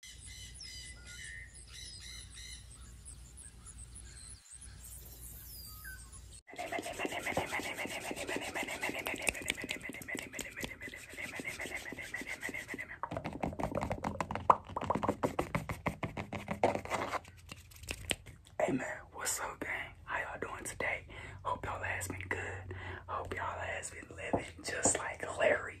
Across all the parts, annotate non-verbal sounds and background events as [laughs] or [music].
Hey man, what's up gang? How y'all doing today? Hope y'all has been good. Hope y'all has been living just like Larry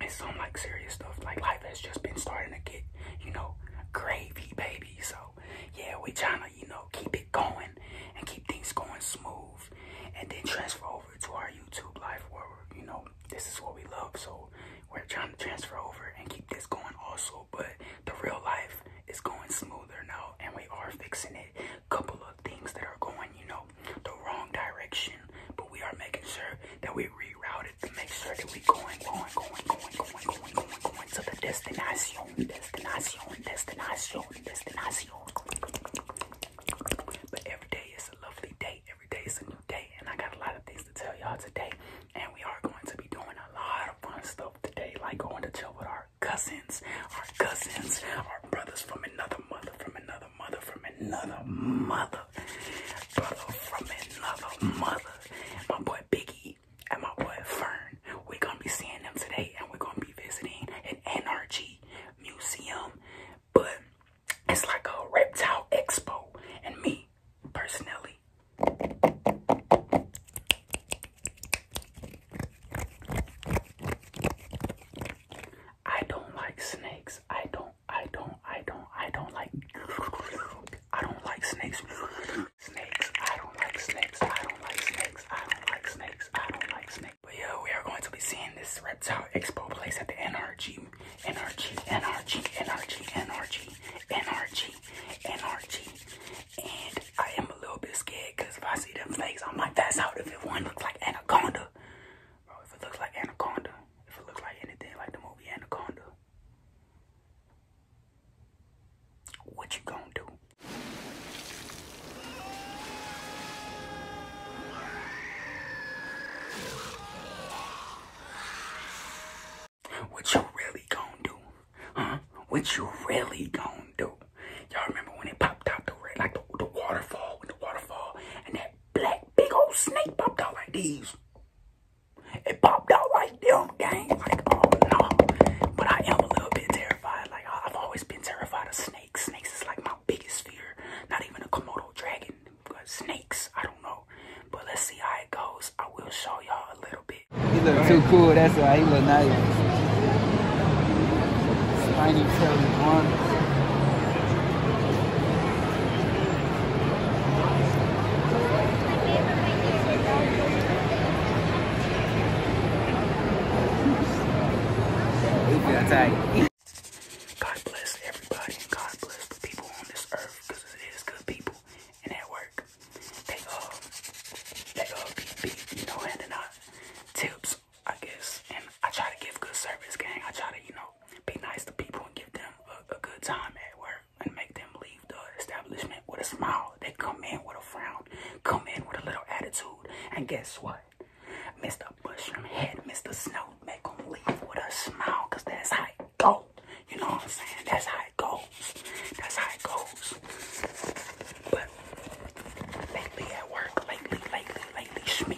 it's some like serious stuff. Like life has just been starting to get, you know, gravy, baby. So yeah, we trying to, you know, keep it going and keep things going smooth, and then transfer over to our YouTube life where you know this is what we love. So we're trying to transfer over and keep this going also. But the real life is going smoother now, and we are fixing it. Couple of things that are going, you know the wrong direction, but we are making sure that we reroute it to make sure that we going, going, going, going, going, going, going, going to the destination, destination, destination, destination. But every day is a lovely day. Every day is a new day, and I got a lot of things to tell y'all today. And we are going to be doing a lot of fun stuff today, like going to chill with our cousins, our cousins, our brothers from another mother, from another mother from another mother, brother from another mother. My boy Biggie and my boy Fern. We're gonna be seeing them today, and we're gonna be visiting an NRG museum, but it's like a reptile expo. And me personally. I don't like snakes. I don't I don't, I don't, I don't like, I don't like snakes. Snakes, I don't like snakes, I don't like snakes, I don't like snakes, I don't like snakes. But yeah, we are going to be seeing this reptile expo place at the NRG, NRG, NRG, NRG, NRG, NRG, NRG. And I am a little bit scared because if I see them snakes, I might pass out if it one looks like anaconda. Bro, if it looks like anaconda, if it looks like anything like the movie Anaconda. What you going do? What you really gonna do? Huh? What you really gonna do? Y'all remember when it popped out the red, like the, the waterfall, with the waterfall, and that black big old snake popped out like these. It popped out like them, gang. Like, oh no. But I am a little bit terrified. Like, I've always been terrified of snakes. Snakes is like my biggest fear. Not even a Komodo dragon. Snakes, I don't know. But let's see how it goes. I will show y'all a little bit. He look too cool. That's why he look nice. Spiny one. God bless everybody God bless the people on this earth it is good people and at work. They all, uh, they all uh, be, you know, handing out tips I guess. And I try to give good service, gang. I try to, you know, be nice to people and give them a, good time at work and make them leave the establishment with a smile. They come in with a frown, come in with a little attitude. And guess what? Mr. Bushroom Head, Mr. Snow, make them leave with a smile because that's how it goes. You know what I'm saying? That's how it goes. That's how it goes. But lately at work, lately, lately, lately, Shmi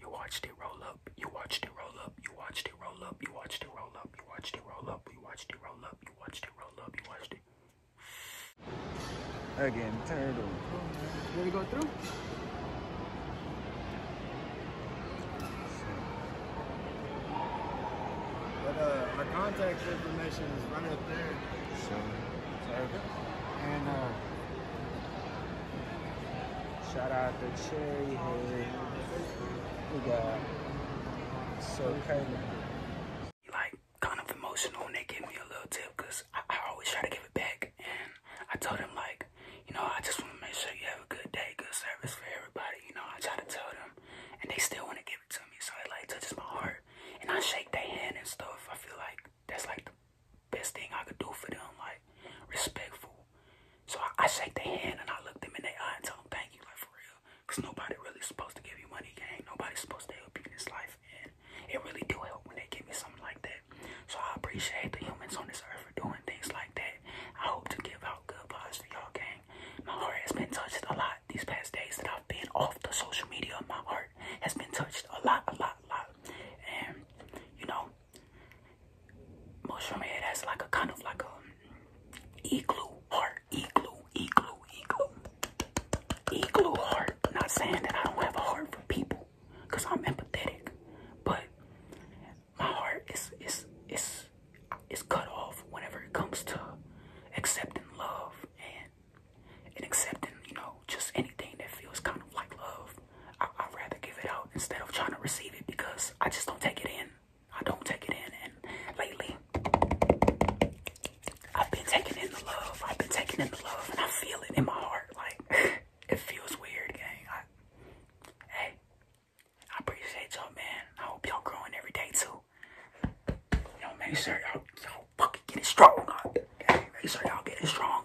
You watched it roll up. You watched it roll up. You watched it roll up. You watched it roll up. You watched it roll up. You watched it roll up. You watched it roll up. You watched it. Again, turn it over. Let it go through. But uh, our contact information is right up there. So, and uh, Shout out to Cherry Head. We got so kind of like kind of emotional when they give me a little tip because I, always try to give it back and I told them like you know I just want to make sure you have a good day good service for everybody you know I try to tell them and they still want to give it to me so it like touches my heart and I shake their hand and stuff I feel like that's like the best thing I could do for them like respectful so I, shake their hand and I look them in the eye and tell them thank you, like for real. Cause nobody really supposed to give you money, gang. Nobody supposed to help you in this life. And it really do help when they give me something like that. So I appreciate the humans on this earth for doing things like that. I hope to give out good vibes for y'all, gang. My heart has been touched a lot these past days that I've been off the social media. My heart has been touched a lot, a lot, a lot. And you know, mushroom head has like a kind of like a igloo heart, igloo, igloo, igloo, igloo heart. Not saying that I don't have a heart for people, cause I'm empathetic, but my heart is is is is cut off whenever it comes to accepting love and and accepting you know just anything that feels kind of like love. I, would rather give it out instead of trying to receive it because I just don't take it in. I don't take it in. And lately, I've been taking in the love. I've been taking in the love and I feel it in my heart. Like, [laughs] it feels weird, gang. I, hey, I appreciate y'all, man. I hope y'all growing every day, too. Y'all make sure y'all fucking getting strong. Gang. Make sure y'all getting strong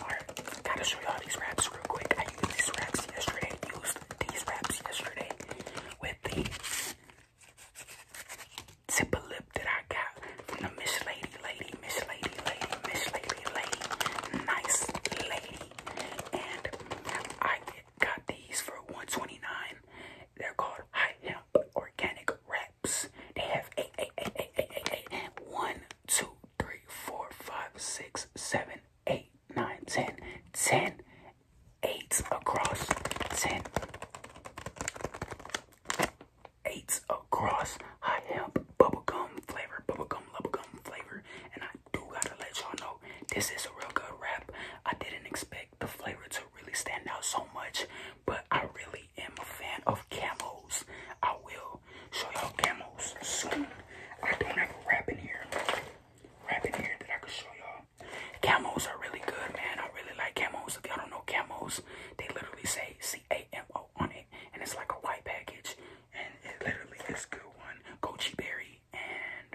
Alright, gotta show y'all these wraps real quick. I used these wraps yesterday. Used these wraps yesterday with the tip of lip that I got from the Miss Lady, Lady, Miss Lady, Lady, Miss Lady, Lady, Nice Lady. And I got these for 129 They're called High Hemp Organic Wraps. They have eight, eight, eight, eight, eight, eight, eight, one, two, three, four, five, six, seven, eight, nine, ten, ten, eight across, ten, eight across. High bubble gum flavor, bubble gum flavor. And I do gotta let y'all know this is a real good wrap. I didn't expect the flavor to really stand out so much, but I really am a fan of Camels. I will will show y'all camos soon. I don't have a wrap in here. Wrap in here that I could show y'all. Camos are really good, man. I really like camos. If y'all don't know camos, they literally say C-A-M-O on it. And it's like a white package. And it literally is good one. Goji berry and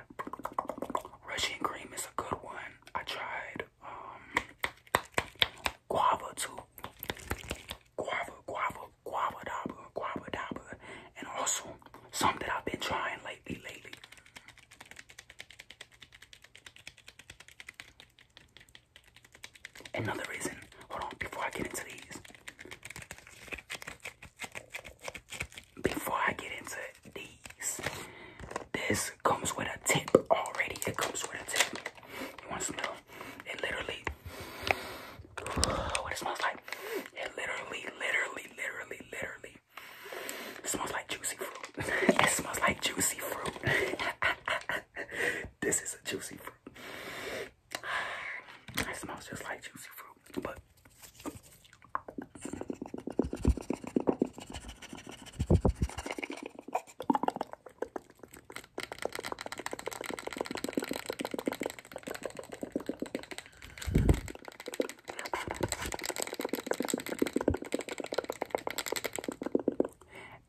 Russian cream is a good one. I tried um guava too. Guava, guava, guava dabba, guava dabba, and also some that I've been trying lately, lately. Another reason, hold on, before I get into these, before I get into these, this comes with a tip already. It comes with a tip. You want to it literally, what it smells like? It literally, literally, literally, literally smells like juicy fruit. [laughs] it smells like juicy fruit. [laughs] this is a juicy fruit. [sighs] It smells just like juicy fruit, but.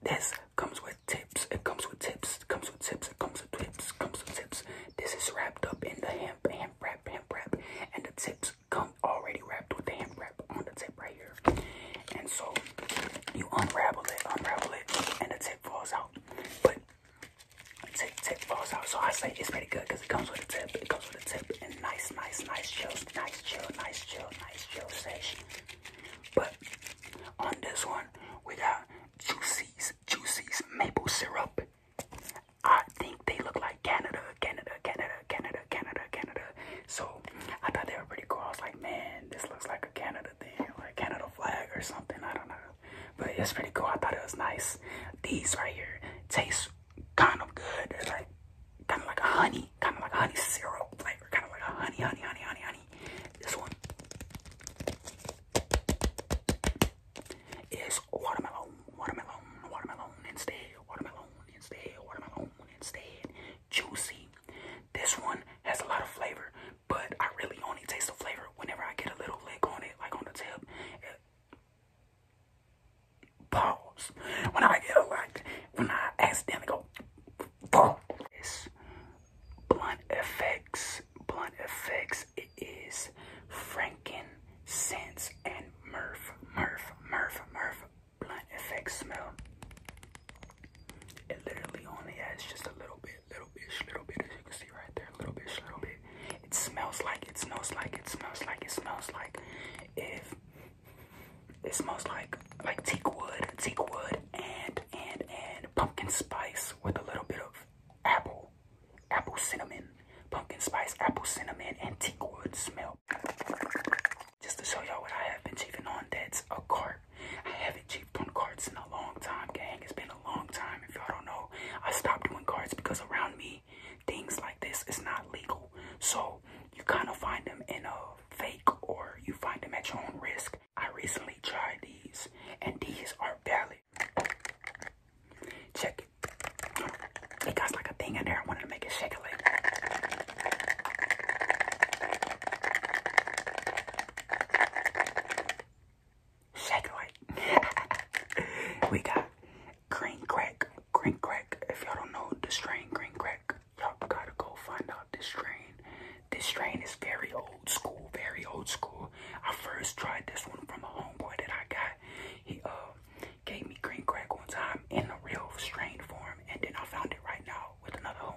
This comes with tips, it comes with tips, it comes with tips, it comes with tips, comes with tips. This is wrapped up in the hemp, hemp wrap, hemp wrap, and the tips come already wrapped with the hemp wrap on the tip right here. And so you unravel it, unravel it, and the tip falls out. But Tip, tip falls out. Oh, so honestly, it's pretty good because it comes with a tip. It comes with a tip and nice, nice, nice chill, nice chill, nice chill, nice chill session. But on this one, we got Juicy's, Juicy's maple syrup. I think they look like Canada, Canada, Canada, Canada, Canada, Canada. So I thought they were pretty cool. I was like, man, this looks like a Canada thing, like Canada flag or something. I don't know but it's pretty cool. I thought it was nice. These right here taste kind of good. It's like kind of like a honey, kind of like a honey syrup flavor, kind of like a honey, honey, honey, honey, honey. This one is watermelon, watermelon, watermelon instead, watermelon instead, watermelon instead, juicy. This one has a lot of flavor but I really only taste the flavor whenever I get a little lick on it, like on the tip. Pause. When I get like, when I accidentally go, boom. It's blunt effects. Blunt effects. It is frankincense and murph, murph, murph, murph. Blunt effects smell. It literally only has just a little bit little bitch, little bit, as you can see right there, little bitch, little bit. It smells like, it smells like, it smells like, it smells like. If it smells like like teak wood, teak wood, and and and pumpkin spice with a little bit of apple, apple cinnamon, pumpkin spice, apple cinnamon, and teak wood smell. Just to show y'all what I have been cheating on, that's a cart I haven't cheaped on cards in a long time, gang. It's been a long time. If y'all don't know, I stopped doing cards because around me, things like this is not legal. So you kind of find them in a fake or you find them at your own risk. I recently tried these and these are valid. Check it. It got like a thing in there. I wanted to make it shake a little. Shake it right. [laughs] we got green crack, green crack. If y'all don't know the strain green crack, y'all gotta go find out this strain. This strain is very old school, very old school. I first tried this one from a homeboy that I got. He uh gave me green crack one time in a real strain form, and then I found it right now with another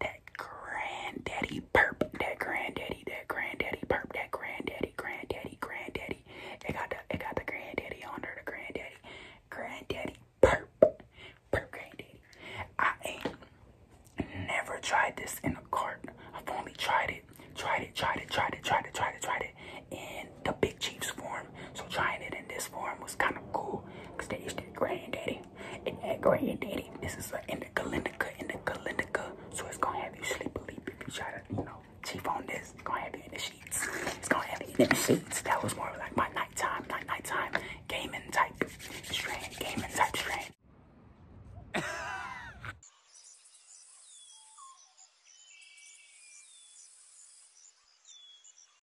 that granddaddy perp, that granddaddy, that granddaddy perp, that granddaddy, granddaddy, granddaddy. It got the, it got the granddaddy on there, the granddaddy, granddaddy perp, perp granddaddy. I ain't never tried this in a cart. I've only tried it, tried it, tried it, tried it, tried it, tried it, tried it, tried it in the big chief's form. So trying it in this form was kind of cool. Cause they used to granddaddy. And that granddaddy, this is a, in the Galindica, in So it's gonna have you sleep a leap if you try to, you know, cheap on this. gonna have you in the sheets. It's gonna have you in the sheets. That was more like my nighttime, night nighttime gaming type strain, gaming type strain.